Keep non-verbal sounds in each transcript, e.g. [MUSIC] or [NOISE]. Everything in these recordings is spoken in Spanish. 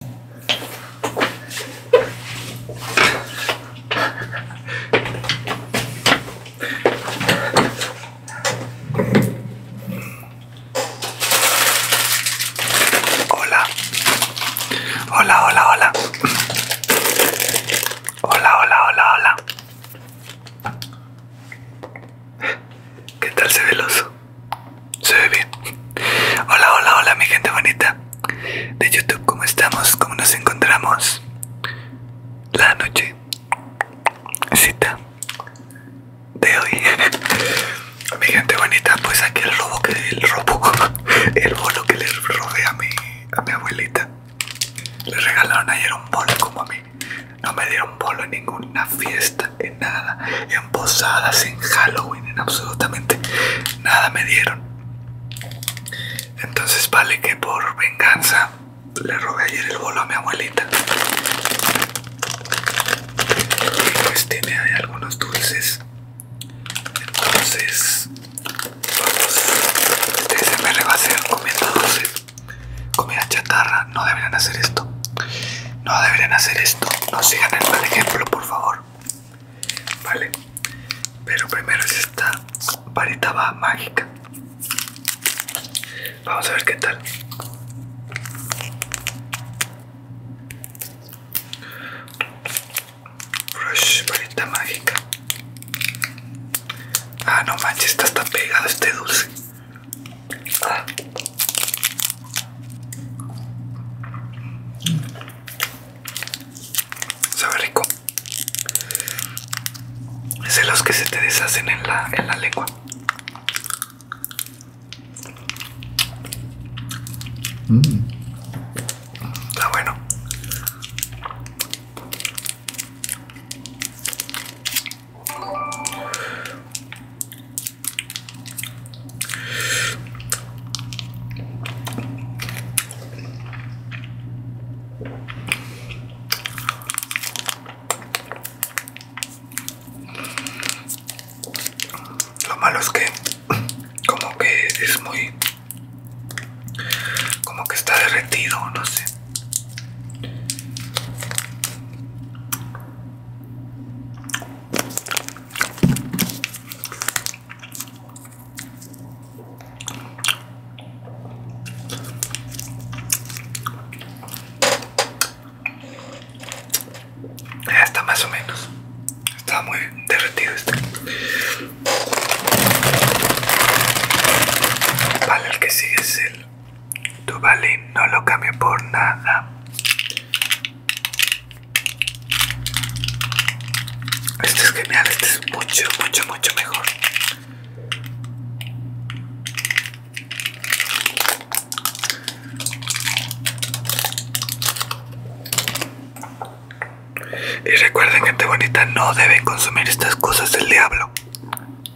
Hola, hola, hola, hola. Hola, hola, hola, hola. ¿Qué tal se ve se ve bien. Hola, hola, hola, mi gente bonita de YouTube. ¿Cómo estamos? ¿Cómo nos encontramos? La noche. Cita de hoy. [LAUGHS] mi gente bonita, pues aquí el robo que el robo, [LAUGHS] el bolo que le robé a mi, a mi abuelita. Le regalaron ayer un bolo como a mí. No me dieron bolo en ninguna fiesta en nada, en posadas, en Halloween, en absolutamente nada me dieron. Entonces vale que por venganza le robé ayer el bolo a mi abuelita. Y pues tiene ahí algunos dulces. Entonces, vamos, le va a hacer comiendo dulce Comida chatarra, no deberían hacer esto. No deberían hacer esto. No sigan el mal ejemplo, por favor. Vale. Pero primero es esta varita mágica. Vamos a ver qué tal. Rush, varita mágica. Ah, no manches, está tan pegado este dulce ve ah. rico. Es de los que se te deshacen en la, lengua. Mm. Está bueno. Lo malo es que como que es muy como que está derretido, no sé. Ya Está más o menos. Está muy derretido este. Vale, el que sigue es el tu balín no lo cambio por nada. Este es genial, este es mucho, mucho, mucho mejor. Y recuerden gente bonita, no deben consumir estas cosas del diablo.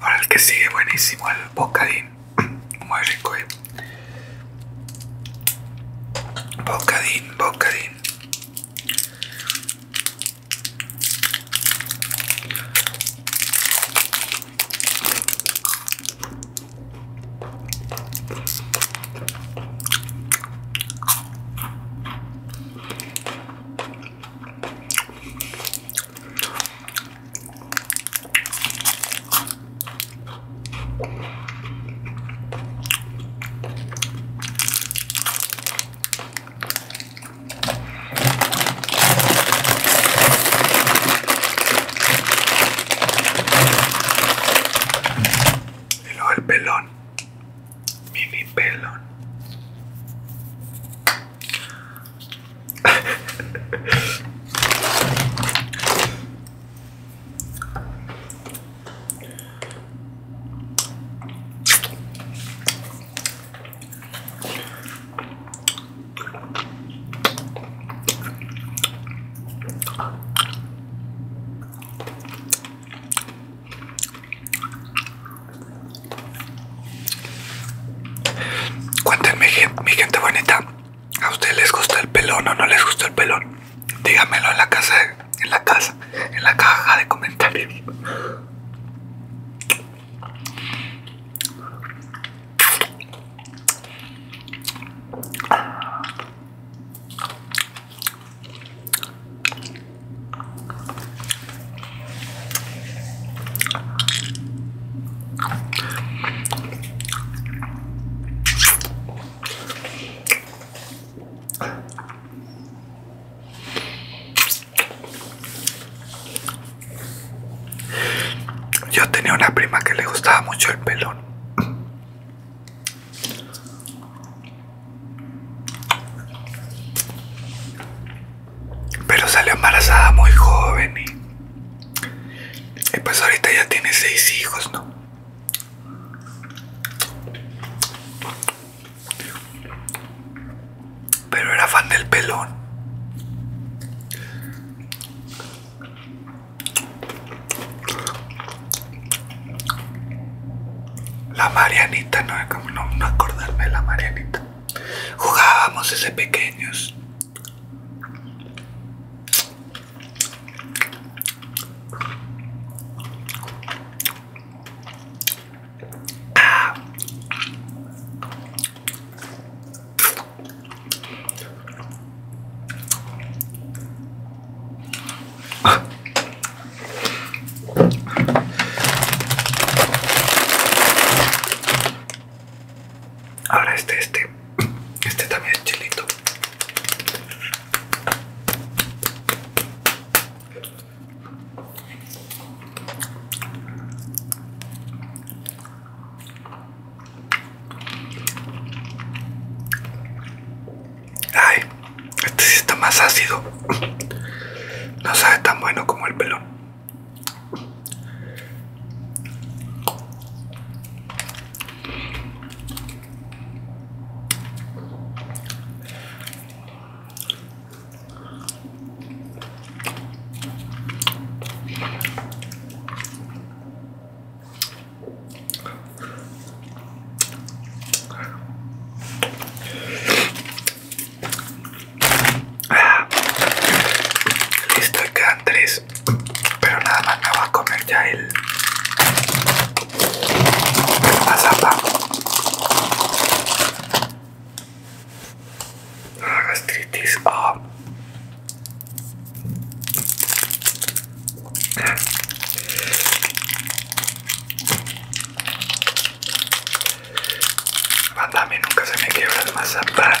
Ahora el que sigue buenísimo, el bocadín. [CLEARS THROAT] Muy rico, eh. Bocadín, bocadín. El o el pelón mimi pelón. Cuéntenme, mi gente bonita, ¿a ustedes les gusta el pelón o no les gusta el pelón? Díganmelo en la casa, en la casa, en la caja de comentarios. Yo tenía una prima que le gustaba mucho el pelón. Pero salió embarazada muy joven y, pues ahorita ya tiene seis hijos, ¿no? Pero era fan del pelón. La Marianita, no, como no, acordarme de la Marianita. Jugábamos ese pequeños. Ah. Ahora este, este, este también es chilito. Ay, este sí está más ácido. No sabe tan bueno como el pelón. Listo, quedan tres. Pero nada más me voy a comer ya el, el Ah, gastritis. Ah. Banda, mí nunca se me quiebra más mazapán.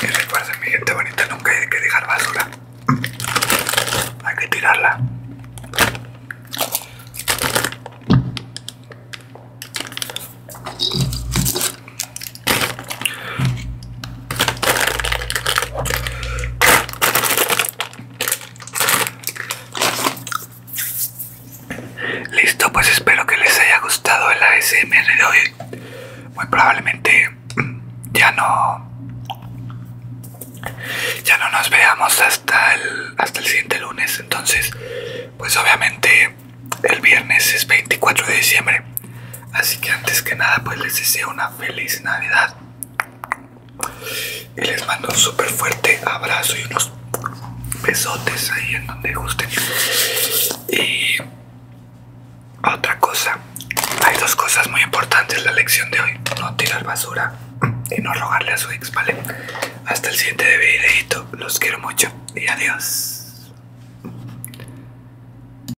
que recuerden mi gente bonita, nunca hay que dejar basura. Hay que tirarla. Listo, pues espero que les haya gustado el ASMR de hoy. Muy probablemente ya no ya no nos veamos hasta el, hasta el siguiente lunes. Entonces, pues obviamente el viernes es 24 de diciembre. Así que antes que nada, pues les deseo una feliz Navidad y les mando un súper fuerte abrazo y unos besotes ahí en donde gusten. Y otra cosa, hay dos cosas muy importantes en la lección de hoy. No tirar basura y no rogarle a su ex, ¿vale? Hasta el siguiente videito. Los quiero mucho y adiós.